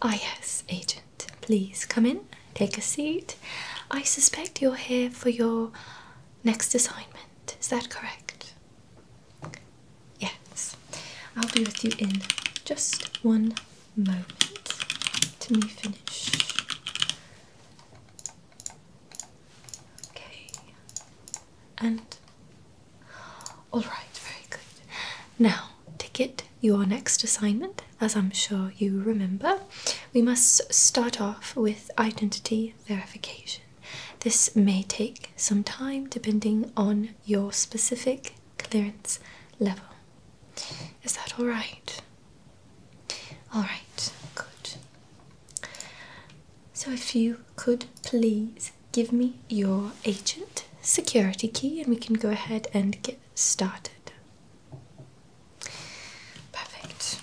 Ah, yes, agent. Please come in, take a seat. I suspect you're here for your next assignment. Is that correct? Yes. I'll be with you in just one moment to finish. Okay. And all right, very good. Now, to get your next assignment, as I'm sure you remember, we must start off with identity verification. This may take some time depending on your specific clearance level. Is that all right? All right, good. So, if you could please give me your agent security key and we can go ahead and get started. Perfect.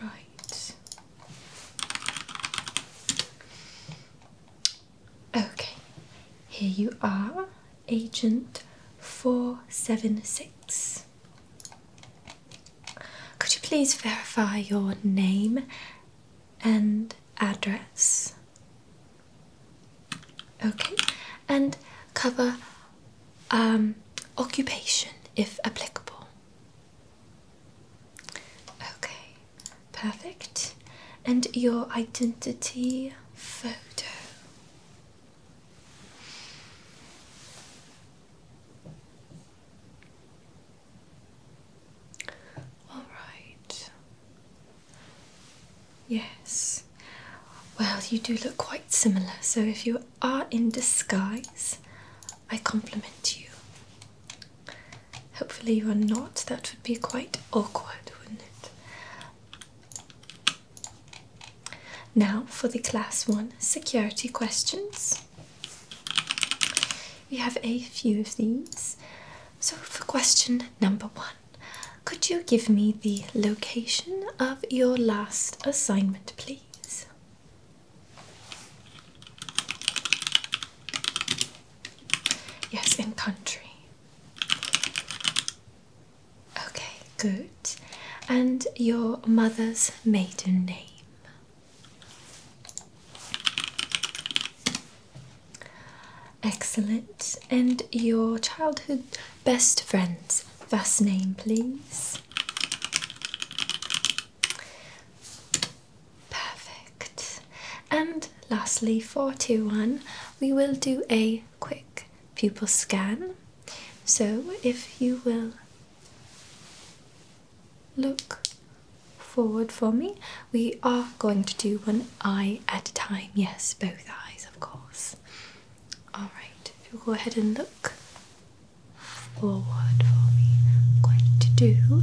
Right. Okay, here you are, agent 476. Could you please verify your name and address? Okay, and cover um, occupation if applicable. Okay, perfect. And your identity photo. All right. Yes. Well, you do look quite similar, so if you are in disguise, I compliment you. Hopefully, you are not. That would be quite awkward, wouldn't it? Now for the class one security questions. We have a few of these. So, for question number one, could you give me the location of your last assignment, please? Yes, in country. Okay, good. And your mother's maiden name? Excellent. And your childhood best friend's first name, please. Perfect. And lastly, 421, we will do a quick pupil scan. So if you will Look forward for me. We are going to do one eye at a time. Yes, both eyes, of course. Alright, if you'll go ahead and look forward for me, I'm going to do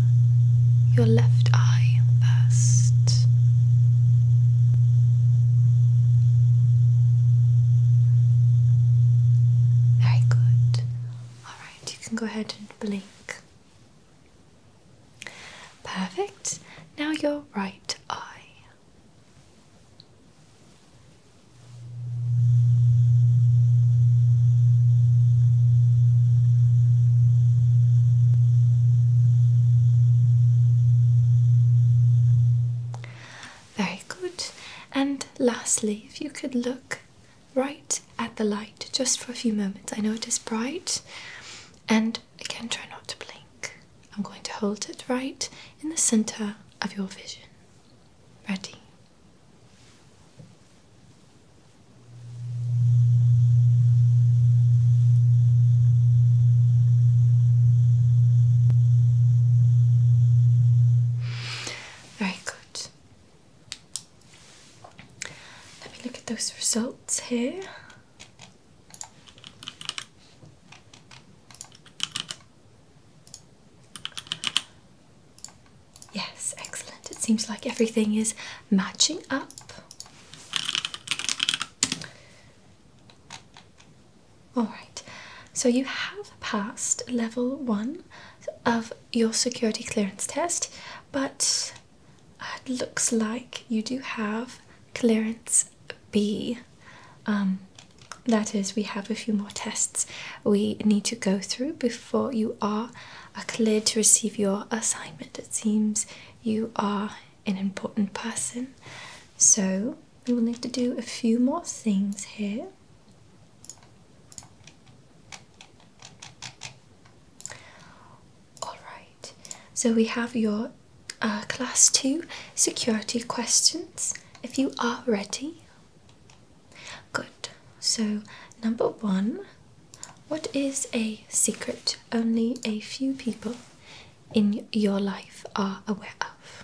your left eye first. Very good. Alright, you can go ahead and blink. Perfect. Now your right eye. Very good. And lastly, if you could look right at the light just for a few moments. I know it is bright. And again, try not to blink. I'm going to hold it right in the center of your vision. Ready? Very good. Let me look at those results here. Yes, excellent. It seems like everything is matching up. Alright, so you have passed level one of your security clearance test, but it looks like you do have clearance B. Um, that is, we have a few more tests we need to go through before you are uh, cleared to receive your assignment. It seems you are an important person, so we will need to do a few more things here. Alright, so we have your uh, class 2 security questions if you are ready. Good, so number one What is a secret only a few people in your life are aware of?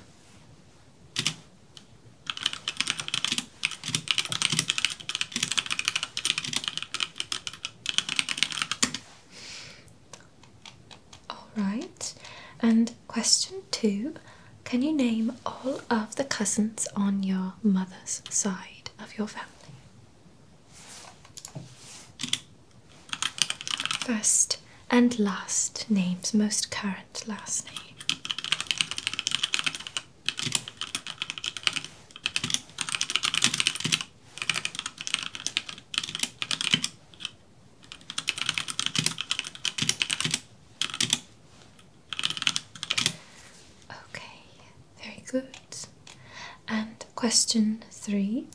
All right, and question two Can you name all of the cousins on your mother's side of your family? First and last names most current last name. Okay, very good. And question three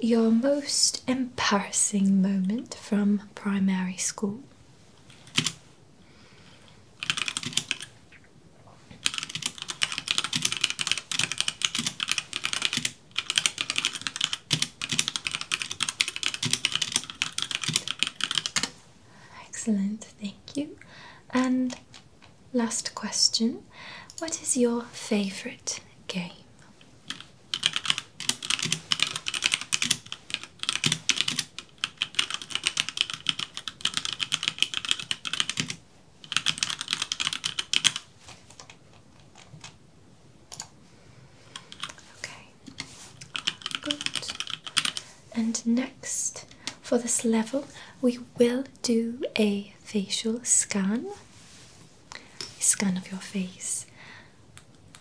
your most embarrassing moment from primary school. Excellent, thank you. And last question What is your favourite game? Okay, good. And next, for this level, we will do a facial scan, a scan of your face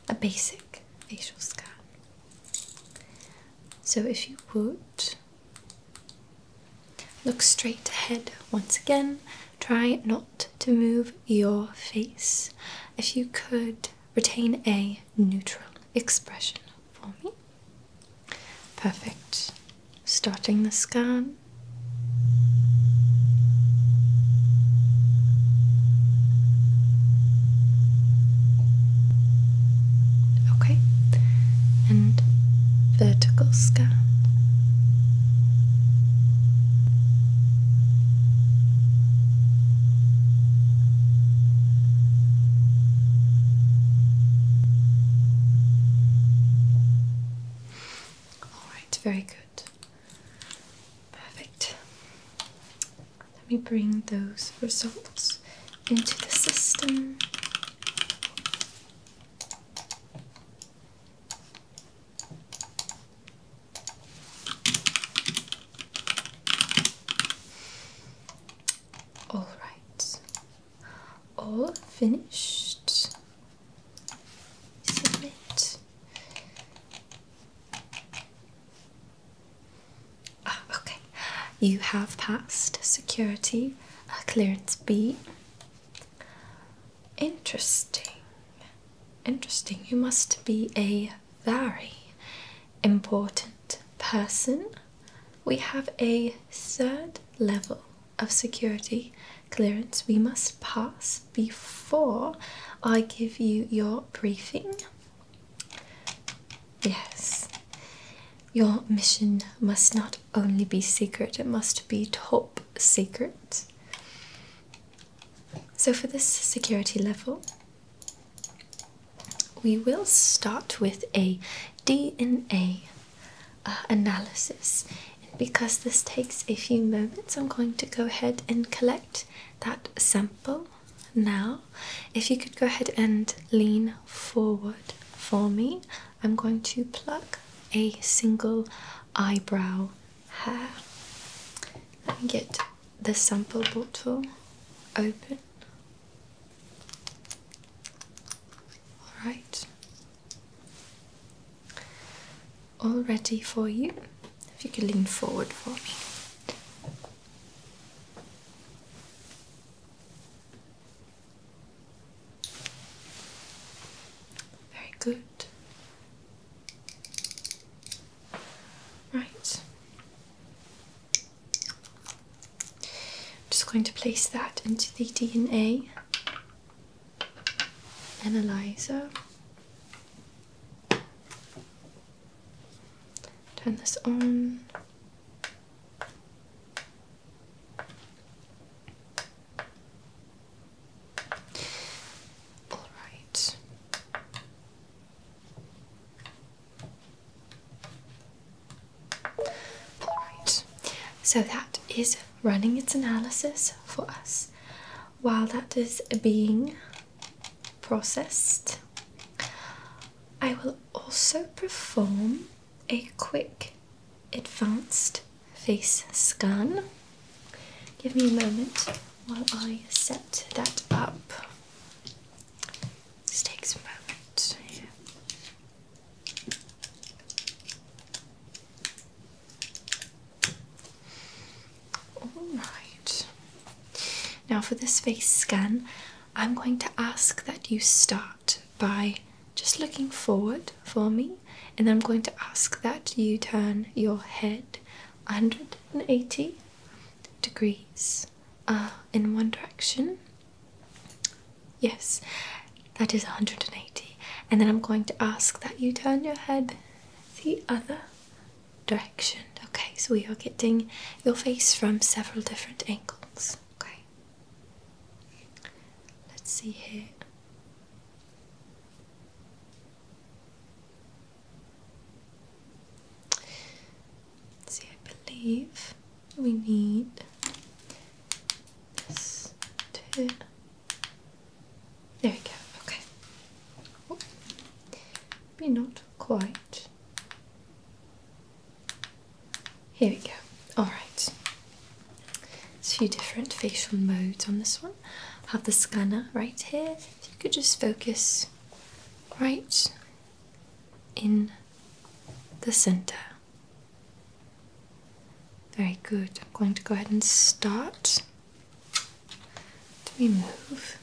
a basic facial scan. So, if you would look straight ahead once again, try not to move your face. If you could retain a neutral expression for me. Perfect. Starting the scan. Okay, and vertical scan. All right, very good. Perfect. Let me bring those results into the system. All right, all finished. Submit. Oh, okay, you have passed security clearance B. Interesting. Interesting. You must be a very important person. We have a third level of security clearance. We must pass before I give you your briefing. Yes, your mission must not only be secret, it must be top secret. So, for this security level, we will start with a DNA uh, analysis because this takes a few moments, I'm going to go ahead and collect that sample now. If you could go ahead and lean forward for me, I'm going to pluck a single eyebrow hair. and get the sample bottle open. Alright, all ready for you. If you could lean forward for me. Very good. Right. I'm just going to place that into the DNA analyzer. Turn this on. All right. All right. So that is running its analysis for us while that is being processed. I will also perform a quick advanced face scan. Give me a moment while I set that up. This takes a moment. Alright. Now, for this face scan, I'm going to ask that you start by just looking forward for me, and I'm going to ask that you turn your head 180 degrees uh, in one direction Yes, that is 180. And then I'm going to ask that you turn your head the other direction. Okay, so we are getting your face from several different angles. Okay. Let's see here. see, I believe we need this to there we go, okay. maybe not quite. Here we go. Alright. There's a few different facial modes on this one. have the scanner right here. you could just focus right in the center. Very good. I'm going to go ahead and start to remove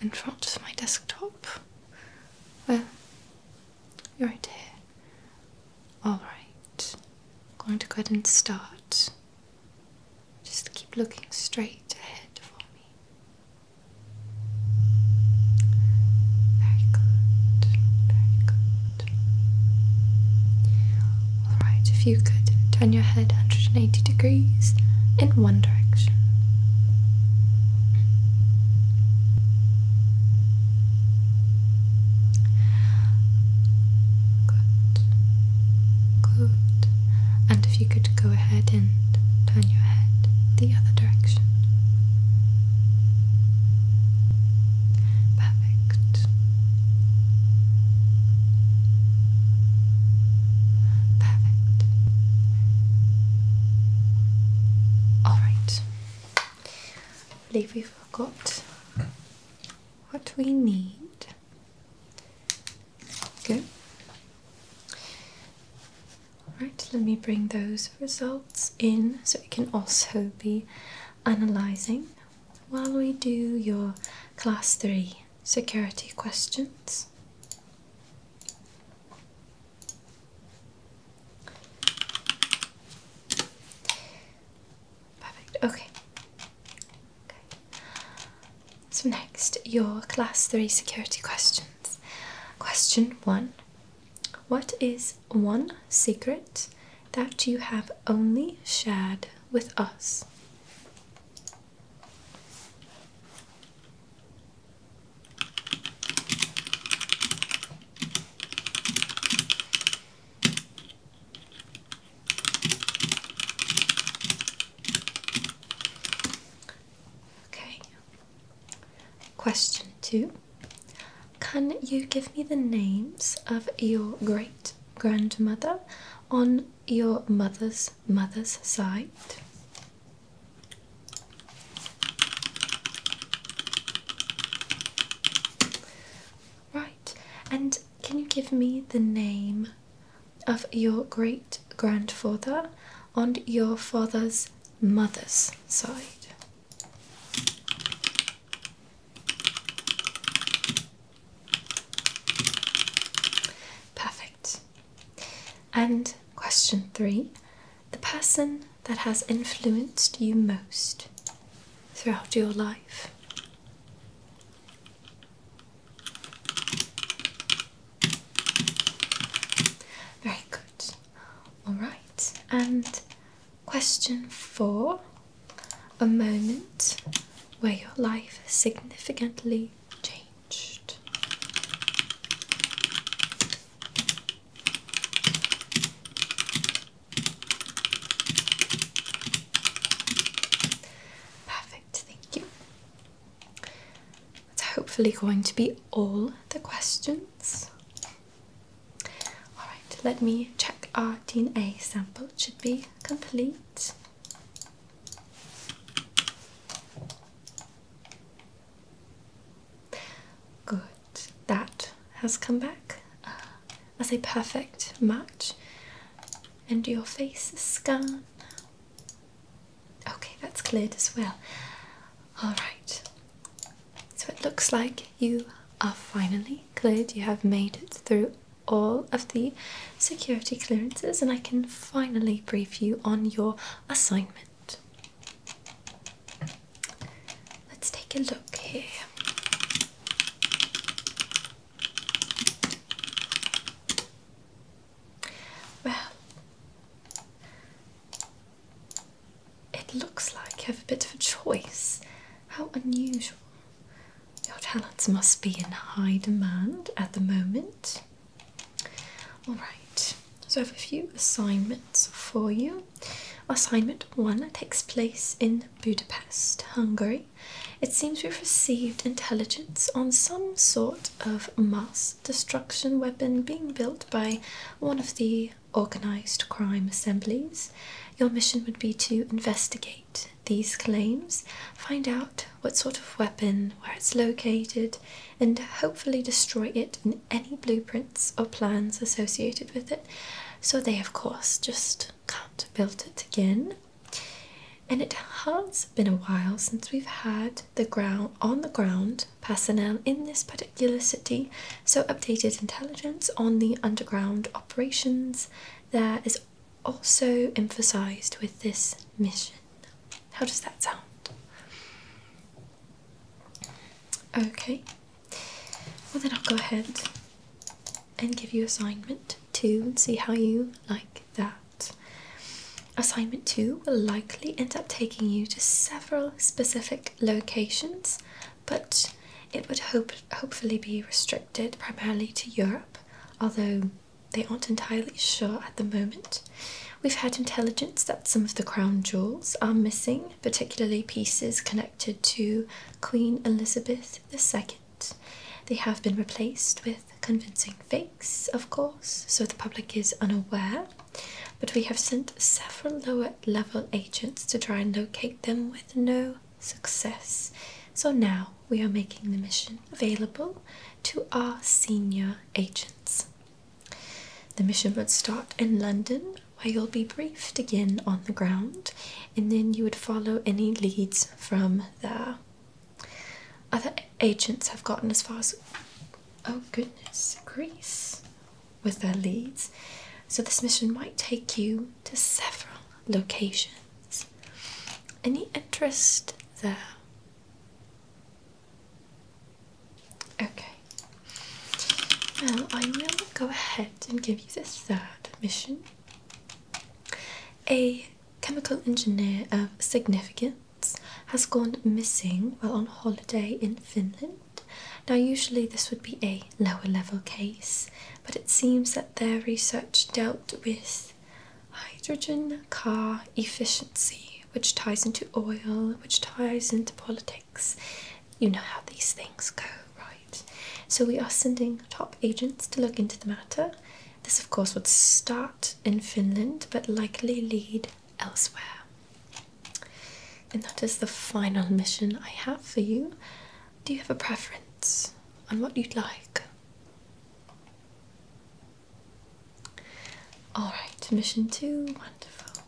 in front of my desktop. Well, you're right here. Alright. going to go ahead and start. Just keep looking straight ahead for me. Very good, very good. Alright, if you could turn your head 180 degrees in one direction. Good. Good. And if you could go ahead and turn your head the other direction. Perfect. Perfect. Alright. I believe we forgot what we need. Good. Alright, let me bring those results in so it can also be analysing while we do your class 3 security questions. Perfect, okay. okay. So, next, your class 3 security questions. Question 1 what is one secret that you have only shared with us? Okay. Question two can you give me the names of your great grandmother on your mother's mother's side? Right, and can you give me the name of your great grandfather on your father's mother's side? Perfect. And question three the person that has influenced you most throughout your life. Very good. All right, and Question four A moment where your life significantly changed. Perfect, thank you. That's hopefully going to be all the questions. Alright, let me check our DNA sample. It should be complete. Good. That has come back uh, as a perfect match. And your face scan. Okay, that's cleared as well. All right. So it looks like you are finally cleared. You have made it through all of the security clearances, and I can finally brief you on your assignment. Let's take a look here. Well, it looks like you have a bit of a choice. How unusual. Your talents must be in high demand at the moment. Alright, so I have a few assignments for you. Assignment 1 takes place in Budapest, Hungary. It seems we've received intelligence on some sort of mass destruction weapon being built by one of the organised crime assemblies. Your mission would be to investigate these claims, find out what sort of weapon, where it's located, and hopefully destroy it and any blueprints or plans associated with it. So they, of course, just can't build it again. And it has been a while since we've had the ground on the ground personnel in this particular city, so updated intelligence on the underground operations there is also emphasized with this mission. How does that sound? Okay, well, then I'll go ahead and give you assignment two and see how you like that. Assignment two will likely end up taking you to several specific locations, but it would hope, hopefully be restricted primarily to Europe, although they aren't entirely sure at the moment. We've had intelligence that some of the crown jewels are missing, particularly pieces connected to Queen Elizabeth II. They have been replaced with convincing fakes, of course, so the public is unaware but we have sent several lower level agents to try and locate them with no success. So now we are making the mission available to our senior agents. The mission would start in London, where you'll be briefed again on the ground, and then you would follow any leads from there. Other agents have gotten as far as Oh goodness, Greece with their leads. So this mission might take you to several locations. Any interest there? Okay. Well, I will go ahead and give you the third mission. A chemical engineer of significance has gone missing while on holiday in Finland. Now, usually this would be a lower level case, but it seems that their research dealt with hydrogen car efficiency, which ties into oil, which ties into politics. You know how these things go, right? So, we are sending top agents to look into the matter. This, of course, would start in Finland but likely lead elsewhere. And that is the final mission I have for you. Do you have a preference on what you'd like? Alright, mission two, wonderful.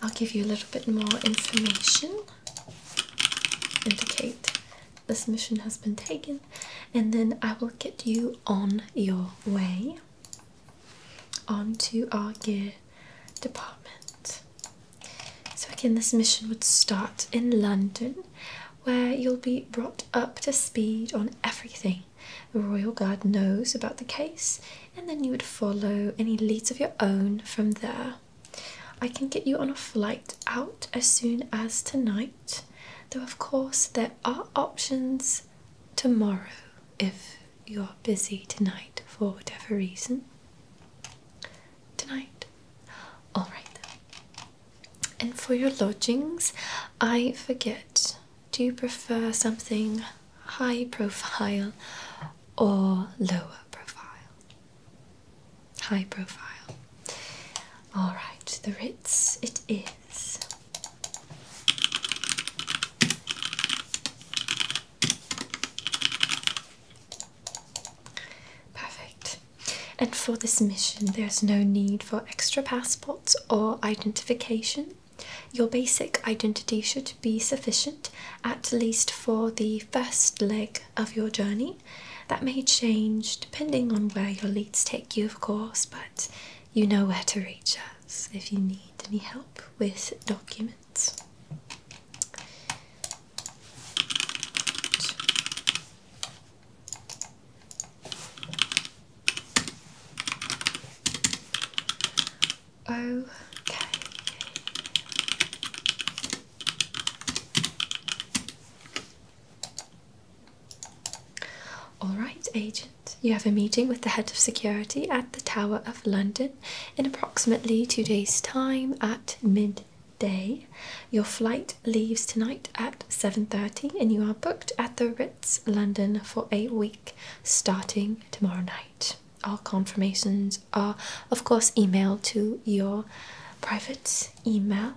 I'll give you a little bit more information. Indicate this mission has been taken, and then I will get you on your way on to our gear department. So, again, this mission would start in London, where you'll be brought up to speed on everything the Royal Guard knows about the case, and then you would follow any leads of your own from there. I can get you on a flight out as soon as tonight, though, of course, there are options tomorrow if you're busy tonight for whatever reason. Tonight? Alright And for your lodgings, I forget. Do you prefer something high profile or lower profile? High profile. Alright, the Ritz it is. Perfect. And for this mission, there's no need for extra passports or identification. Your basic identity should be sufficient, at least for the first leg of your journey. That may change depending on where your leads take you, of course, but you know where to reach us if you need any help with documents. Okay. All right, agent, you have a meeting with the head of security at the Tower of London in approximately two days' time at midday. Your flight leaves tonight at 7:30 and you are booked at the Ritz London for a week starting tomorrow night. All confirmations are of course emailed to your private email.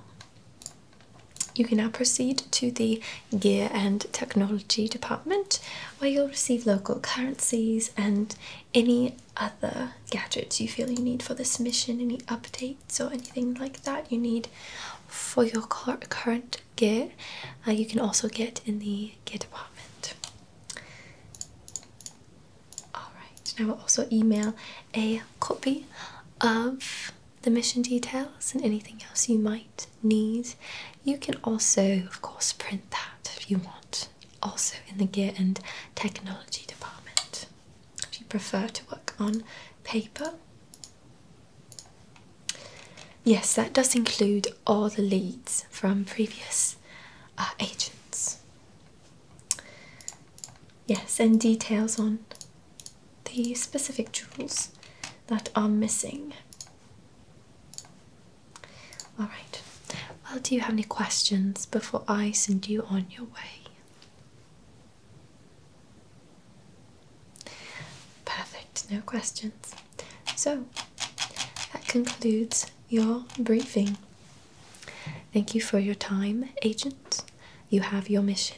You can now proceed to the Gear and Technology department where you'll receive local currencies and any other gadgets you feel you need for this mission, any updates or anything like that you need for your current gear. Uh, you can also get in the gear department. Alright, now will also email a copy of the mission details and anything else you might need. You can also, of course, print that if you want, also in the Gear and Technology department. If you prefer to work on paper. Yes, that does include all the leads from previous uh, agents. Yes, and details on the specific jewels that are missing. All right. Well, do you have any questions before I send you on your way? Perfect, no questions. So, that concludes your briefing. Thank you for your time, agent. You have your mission.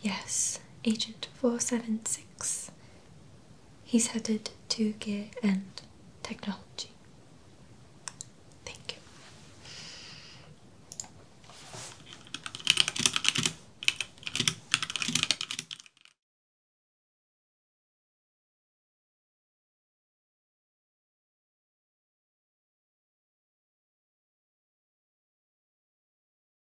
Yes, Agent 476. He's headed to Gear and Technology. Thank you.